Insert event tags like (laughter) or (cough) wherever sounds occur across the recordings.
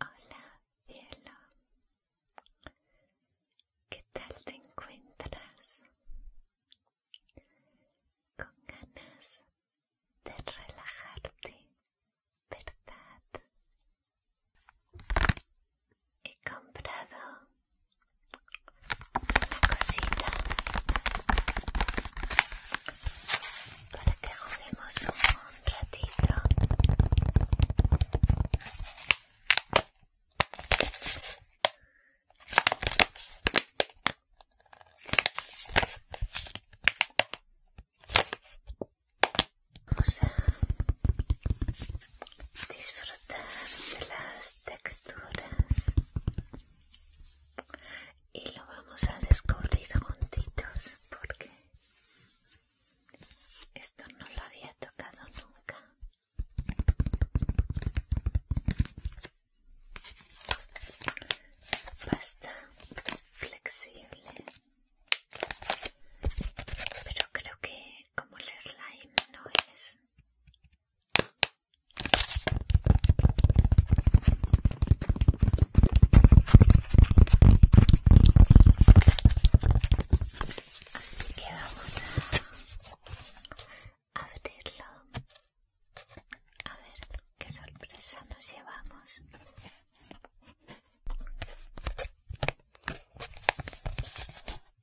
Hola, cielo. ¿Qué tal te encuentras? Con ganas de relajarte, ¿verdad? he comprado una cosita para que juguemos un ratito Vamos a disfrutar de las texturas y lo vamos a descubrir juntitos porque esto no lo había tocado nunca pasta flexible pero creo que como el slime no es Así que vamos a abrirlo. A ver qué sorpresa nos llevamos.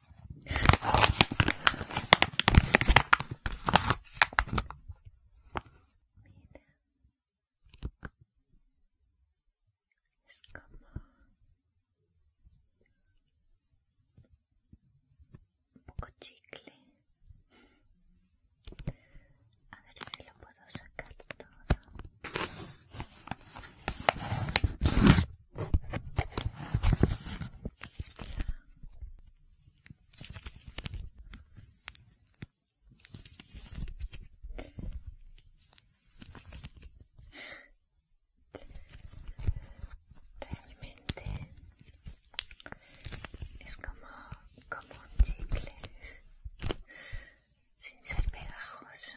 es como un poco chicle a ver si lo puedo sacar todo Realmente es como, como un chicle sin ser pegajoso.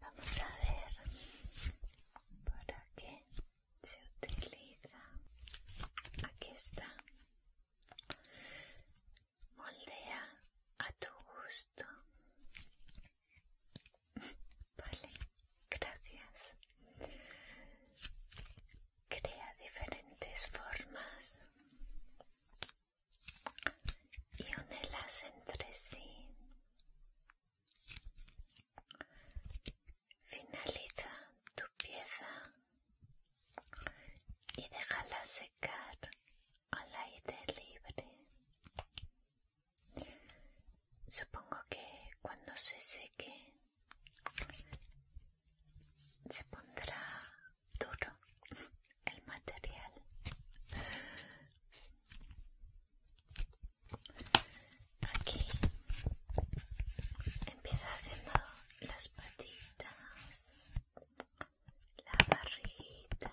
Vamos a ver para qué se utiliza. Aquí está. Moldea a tu gusto. (laughs) Vale, gracias. Crea diferentes formas y únelas entre sí. Finaliza tu pieza y déjala secar al aire libre. Supongo que cuando se seque se pondrá duro el material aquí empieza haciendo las patitas la barriguita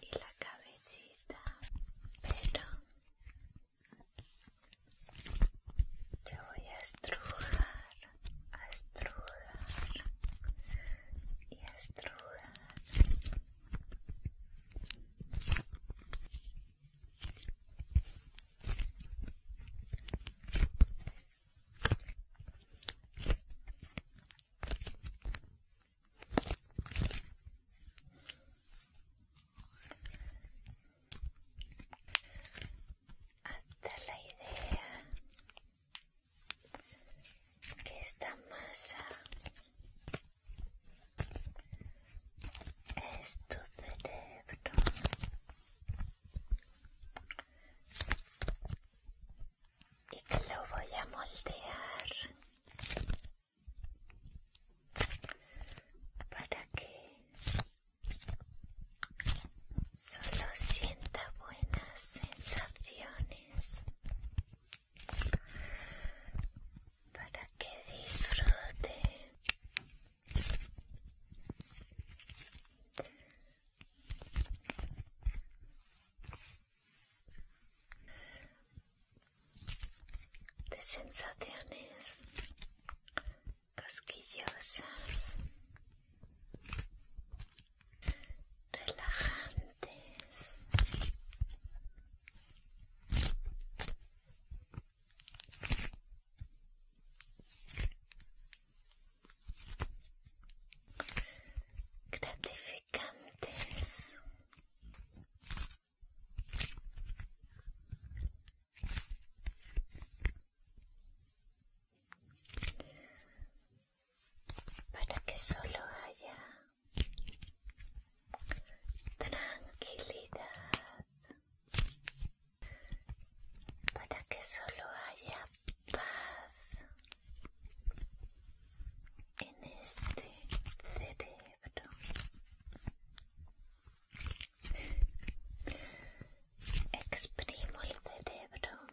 y la cabecita pero yo voy a estrujar a estrujar y a estrujar hasta la idea que esta masa es tu cerebro y que lo voy a moldear para que Solo sienta buenas sensaciones para que disfrute de sensaciones cosquillosas, relajantes. Gratificantes para que solo haya tranquilidad, para que solo haya paz en este cerebro. Exprimo el cerebro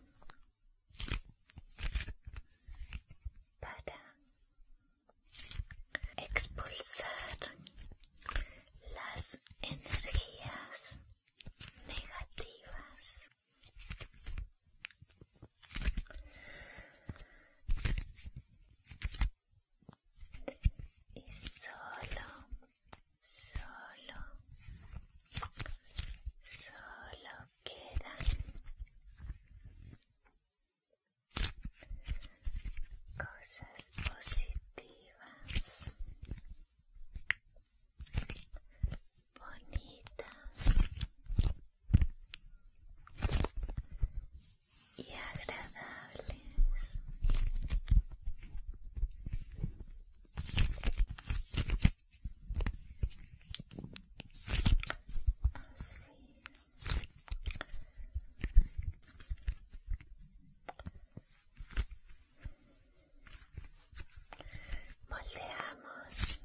para expulsar las energías negativas y solo, solo, solo quedan cosas positivas, bonitas y agradables. Así. Moldeamos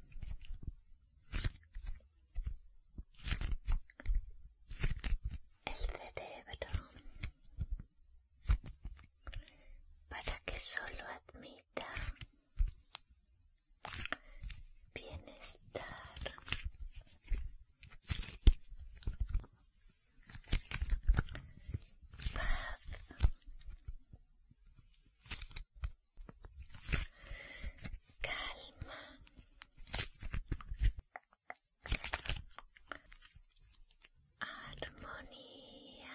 el cerebro para que solo admita bienestar calma Armonía.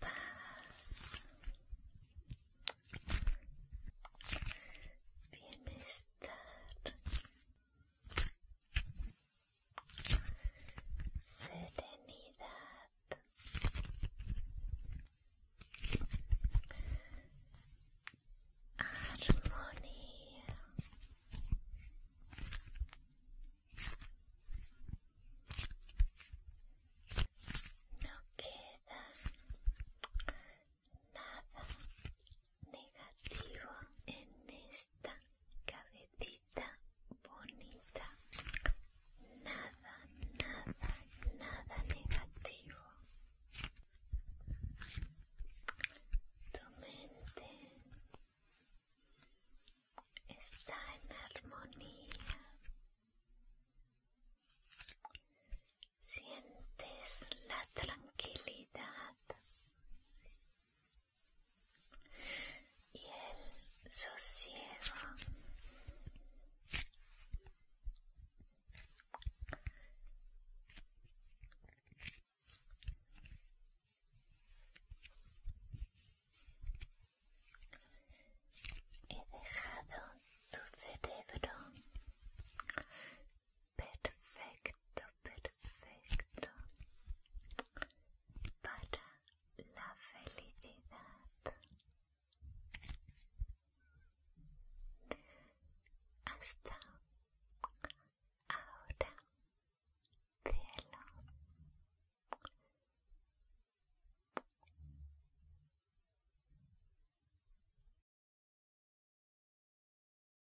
Paz. Bienestar serenidad armonía no queda nada negativo en esta cabecita bonita, bonita. Nada, nada, nada negativo. Tu mente está en armonía. Sientes la tranquilidad y el sosiego he dejado tu cerebro perfecto, perfecto para la felicidad. Hasta ahora, cielo.